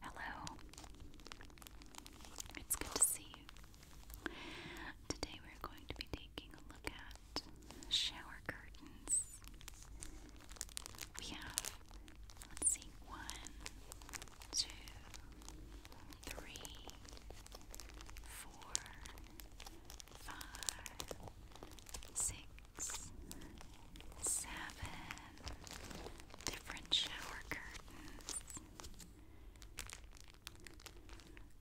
Hello. It's good to see you. Today we're going to be taking a look at shower curtains. We have, let's see, one, two, three, four, five, six seven different shower curtains.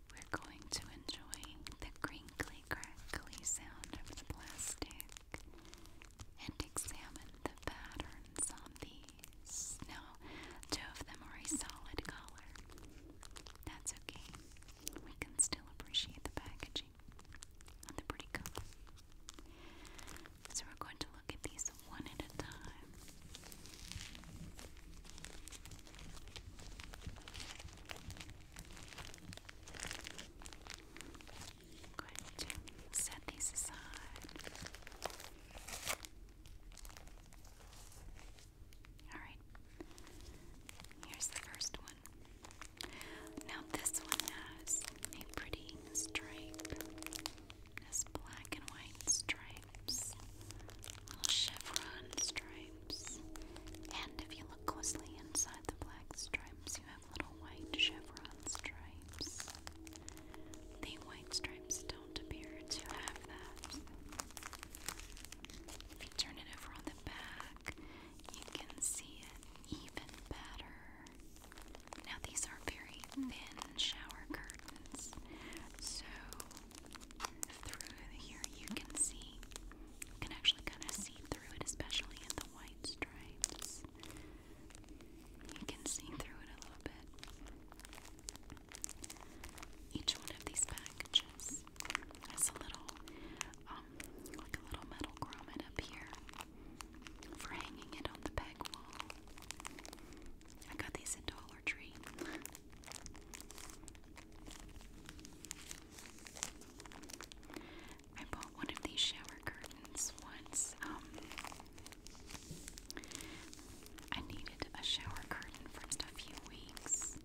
We're going to enjoy the crinkly, crackly sound of the plastic and examine the patterns on these. Now, two of them are a solid color. That's okay. We can still appreciate the packaging they're pretty cool. So we're going to look at these one at a time. I'm going to set these aside. All right. Here's the first one. Now this one has a pretty stripe. Has black and white stripes. Little chevron stripes. And if you look closely inside the black stripes, you have little white chevron stripes. The white stripes don't appear to have that. If you turn it over on the back, you can see it even better. Now, these are very thin shower curtains, so through here you can see, can actually kind of see through it, especially in the white stripes. You can see through it a little bit. Each one of these packages this. a little, um, like a little metal grommet up here for hanging it on the back wall. I got these at Dollar Tree. I bought one of these shower curtains once. Um, I needed a shower curtain for just a few weeks.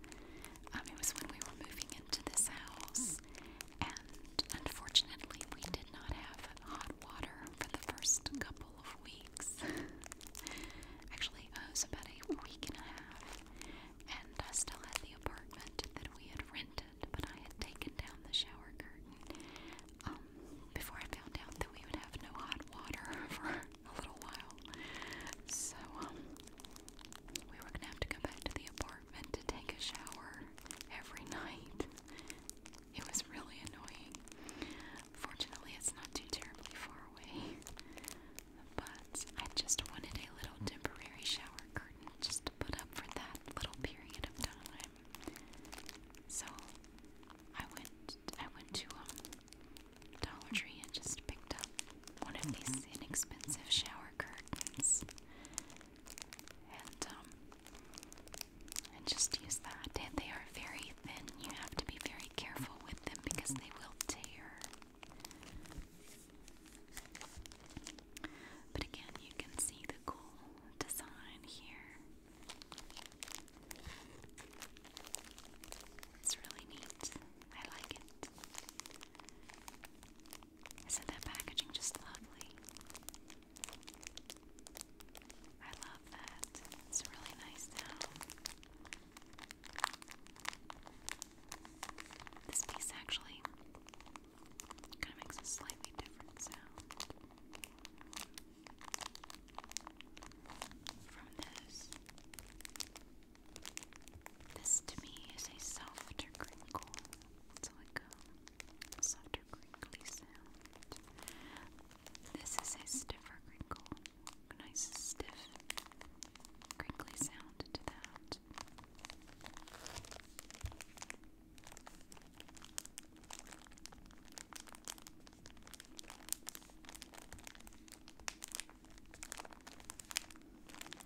Um, it was when we were moving into this house, house, and unfortunately, we did not have hot water for the first couple of weeks. Actually, uh, it was about a week and a half, and I still had the apartment that we had rented, but I had taken down the shower curtain um, before I found out that we would have no hot water for a little while. So, um, we were gonna have to go back to the apartment to take a shower every night. It was really annoying. Fortunately, it's not too terribly far away. But I just wanted a little temporary shower curtain just to put up for that little period of time. So I went I went to um Dollar Tree and just picked up one of these inexpensive shower curtains um, and just use that. And they are very thin. You have to be very careful with them because they will tear. But again, you can see the cool design here. It's really neat. I like it. Isn't that packaging just lovely? I love that. It's really nice now. This piece actually kind of makes a slightly different sound from this. This to me is a softer crinkle. It's like a softer crinkly sound. This is a stiffer crinkle. Nice stiff crinkly sound to that.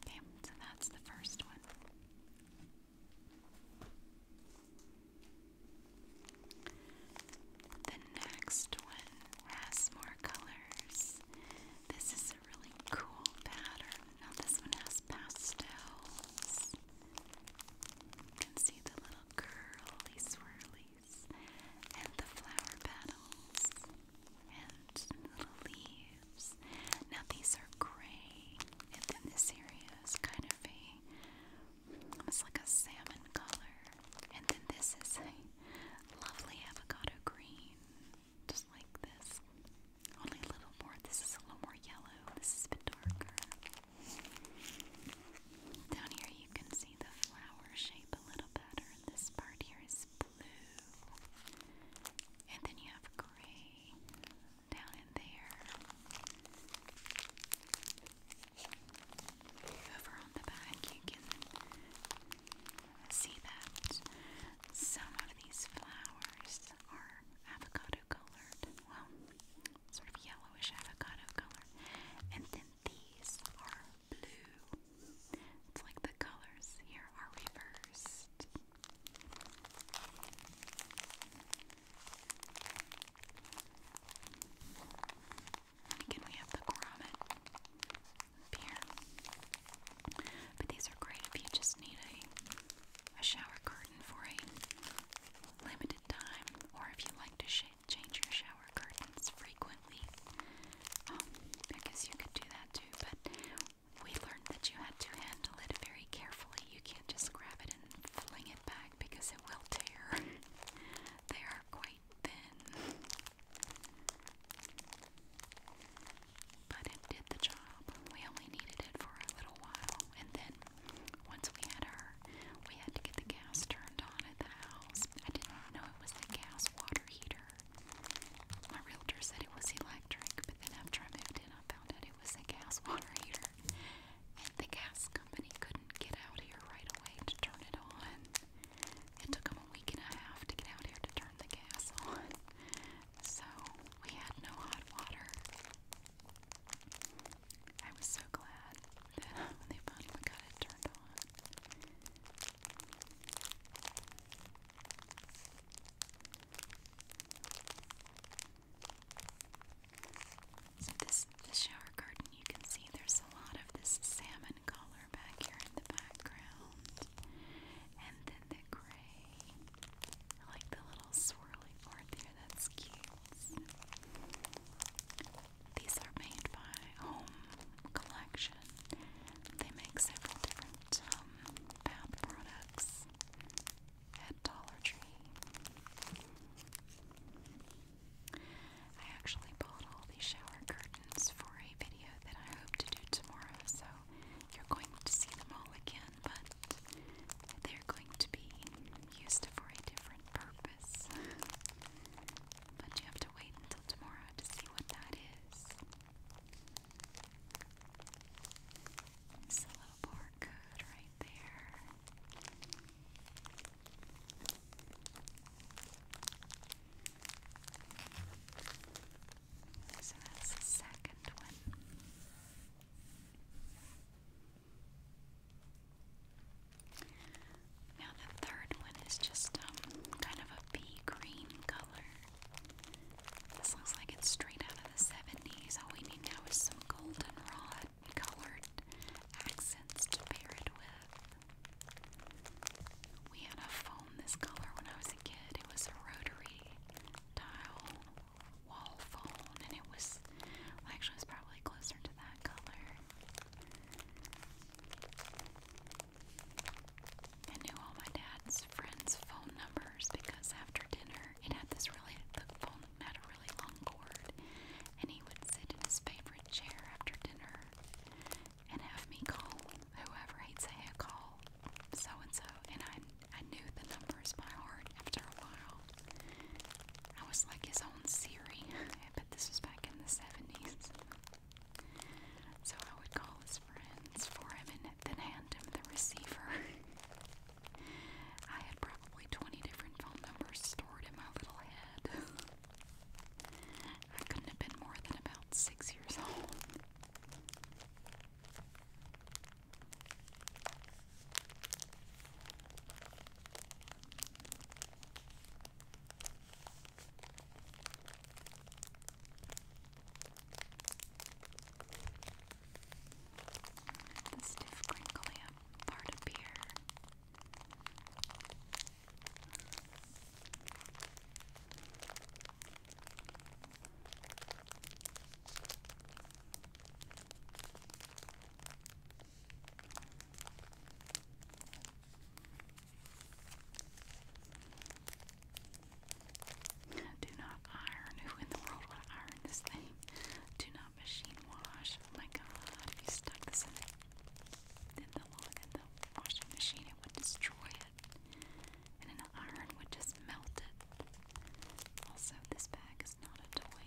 Okay, so that's the first one. The next one has more colors. This is a really cool pattern. Now, this one has pastels. You can see the little curly swirlies and the flower petals and little leaves. Now these are gray, and then this area is kind of a almost like a salmon color, and then this is a lovely avocado green, just like this. Only a little more. This is a little more yellow. This is a bit darker. Down here you can see the flower shape a little better. This part here is and then you have gray down in there. Over on the back, you can see that some of these flowers are avocado colored. Well, sort of yellowish avocado color. And then these are blue. It's like the colors here are reversed. Again, we have the grommet up here. But these are great if you just need a, a shower curtain for a limited time, or if you like to change your shower shower curtains frequently. Um, I guess you could do that too, but we learned that you had to handle it very carefully. You can't just grab it and fling it back because it will tear. they are quite thin. But it did the job. We only needed it for a little while, and then once we had her, we had to get the gas turned on at the house. I didn't know it was the gas water heater. My realtor said it was electric, but then after I moved in, I found out it was a gas water heater. And the gas company couldn't get out here right away to turn it on. It took them a week and a half to get out here to turn the gas on. So we had no hot water. I was so glad that when they finally got it turned on. So this the shower curtain you can see there's a lot of this salmon color back here in the background. And then the gray. I like the little swirly part there, that's cute. These are made by Home Collection. They make several different um, bath products at Dollar Tree. I actually bought all these shower curtains for a video that I hope to do tomorrow, so you're going to see them all again, but they're going to be used for a different purpose. but you have to wait until tomorrow to see what that is. It's a little barcode right there. So that's the second one. Now the third one is just um, kind of a pea green color. This looks like it's straight out of the 70s. All we need now is some goldenrod colored accents to pair it with. We had a phone this color when I was a kid. It was a rotary tile wall phone, and it was actually was probably closer to that color. I knew all my dad's friends' phone numbers because after dinner it had this really the phone had a really long cord and he would sit in his favorite chair after dinner and have me call whoever he'd say a call so and so and I I knew the numbers by heart after a while. I was like his own Siri, but this was back in the 70s. So I would call his friends for him and then hand him the receiver. I had probably 20 different phone numbers stored in my little head. I couldn't have been more than about six years old. The stiff crinkly part of beer. Do not iron. Who in the world would iron this thing? Do not machine wash. Oh my god, if you stuck this in, in the, in the washing machine, it would destroy it. And an iron would just melt it. Also, this bag is not a toy.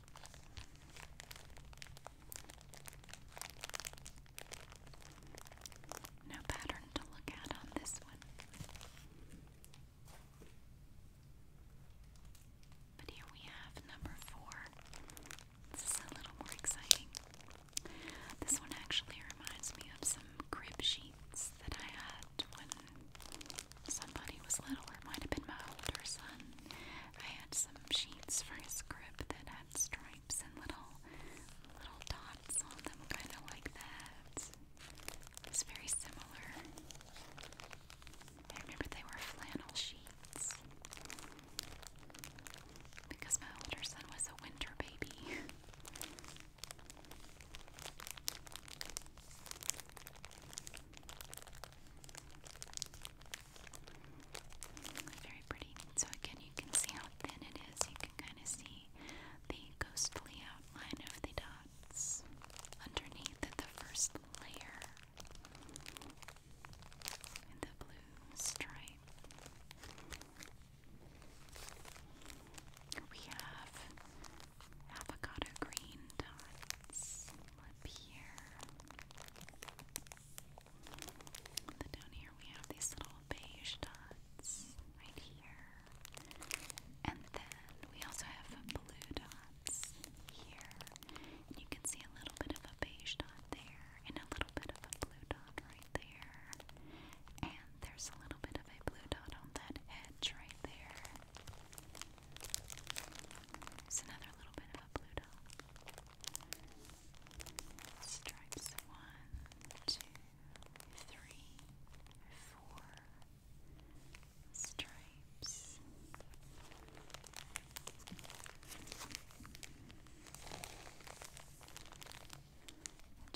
No pattern to look at on this one. But here we have number four. This is a little more exciting. This one actually reminds me of some crib sheets that I had when somebody was little. It might have been my older son. I had some sheets for his crib that had stripes and little little dots on them, kind of like that. It's very similar. I remember they were flannel sheets because my older son was a winter baby. Very pretty. So again, you can see how thin it is. You can kind of see the ghostly outline of the dots underneath the first layer. And the blue stripe. We have avocado green dots up here. Then down here we have these little beige dots right here. And then we also have blue dots here. you can see a little bit of a beige dot there and a little bit of a blue dot right there. And there's a little bit of a blue dot on that edge right there. There's another little bit of a blue dot. Stripes one, two, three, four. Stripes.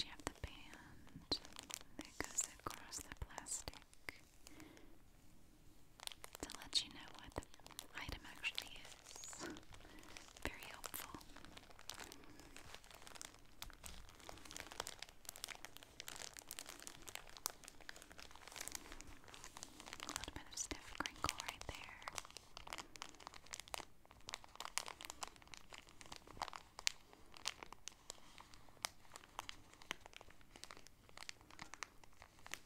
you have the band that goes across the plastic to let you know what the item actually is. Very helpful. A bit of stiff crinkle right there.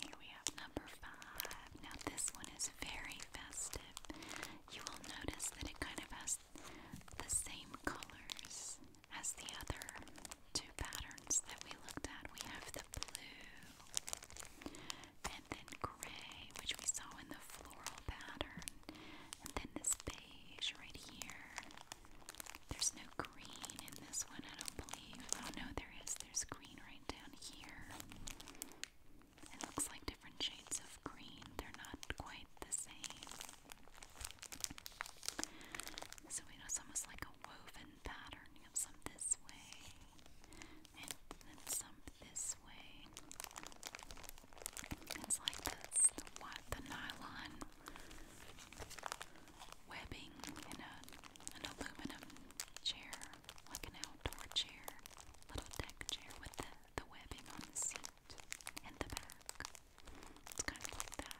Here we have number five. Now, this one is very festive. You will notice that it kind of has the same colors as the other two patterns that we looked at. We have the blue and then gray, which we saw in the floral pattern, and then this beige right here. There's no green in this one, I don't believe. Oh no, there is. There's green right down here. It looks like different shades of green. They're not quite the same. So we know it's almost like a woven pattern. of some this way, and then some this way. It's like this, the, what, the nylon webbing in an aluminum chair, like an outdoor chair, little deck chair with the, the webbing on the seat and the back. It's kind of like that.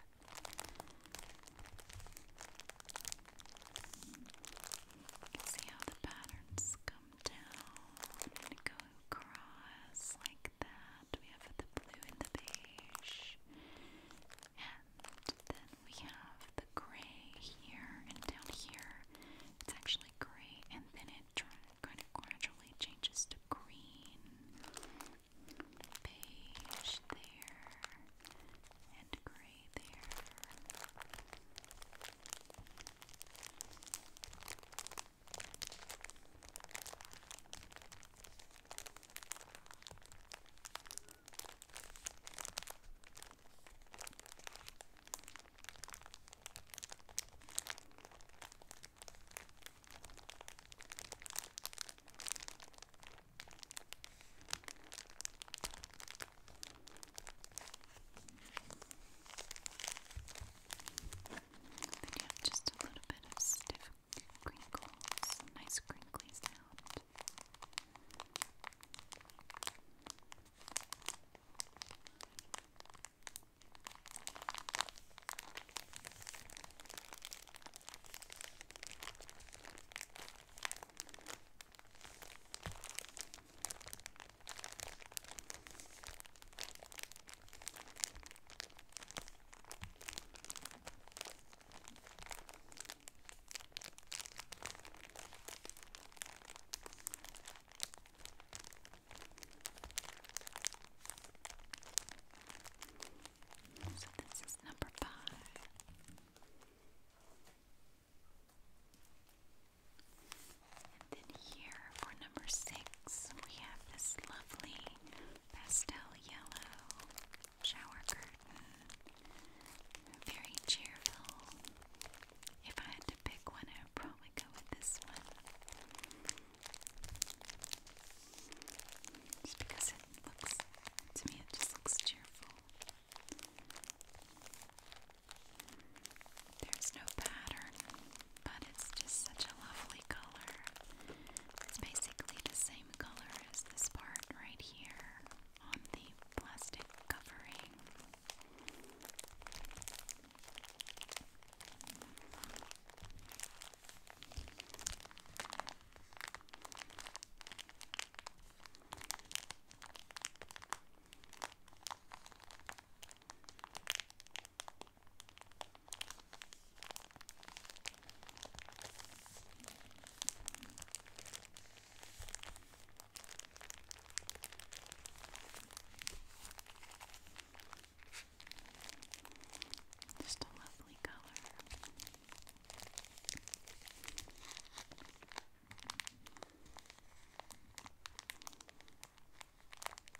see how the patterns come down and go across like that that we have the blue and the beige. And then we have the gray here and down here. It's actually gray and then it kind of gradually changes to green. Beige there and gray there. Then you just a little bit of stiff crinkles, nice crinkly sound. So this is number five. And then here for number six, we have this lovely pastel yellow shower curtain. Very cheerful. If I had to pick one, I would probably go with this one. Just because it looks, to me, it just looks cheerful. There's no pattern, but it's just such a lovely color. It's basically the same color as this part right here on the plastic covering. Just a lovely color.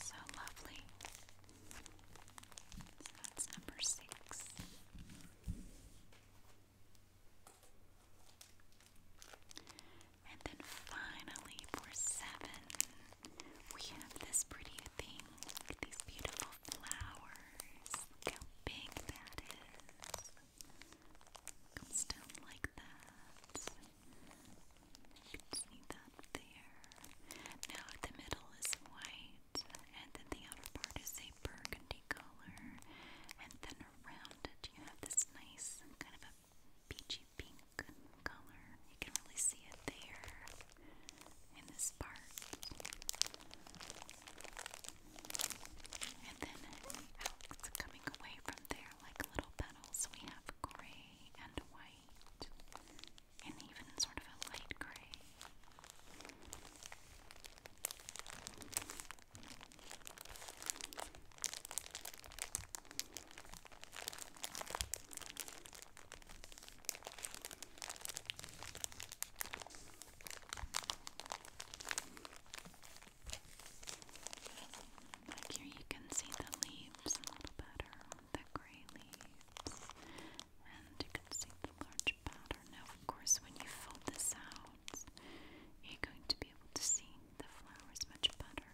So lovely. that's number six. And then finally, for seven, we have this pretty thing. these beautiful flowers. Look how big that is. i still like that. You can see that there. Now the middle is white, and then the outer part is a burgundy color, and then around it you have this nice kind of a peachy pink color. You can really see it there in this part. And then coming away from there like little petals, we have gray and white and even sort of a light gray. Like here, you can see the leaves a little better, the gray leaves, and you can see the large pattern. Now, of course, when you fold this out, you're going to be able to see the flowers much better.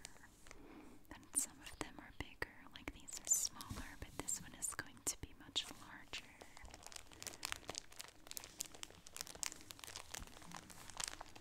And some of them are bigger, like these are smaller, but this one is going to be much larger.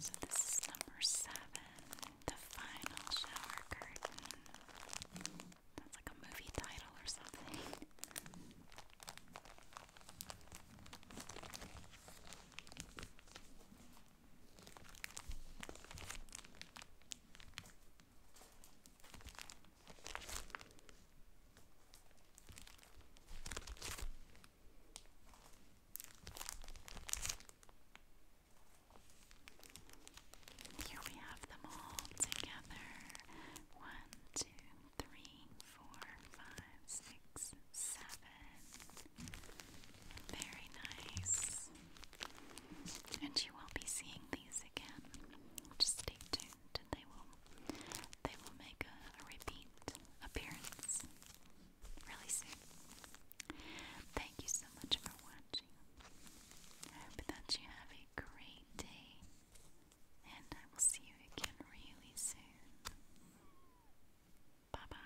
So, this is number seven the final shower curtain. That's like a movie title or something. Here we have them all together. One, two, three, four, five, six, seven. Very nice and you will be seeing these again. Just stay tuned, and they will they will make a, a repeat appearance really soon. Thank you so much for watching. I hope that you have a great day, and I will see you again really soon. Bye bye.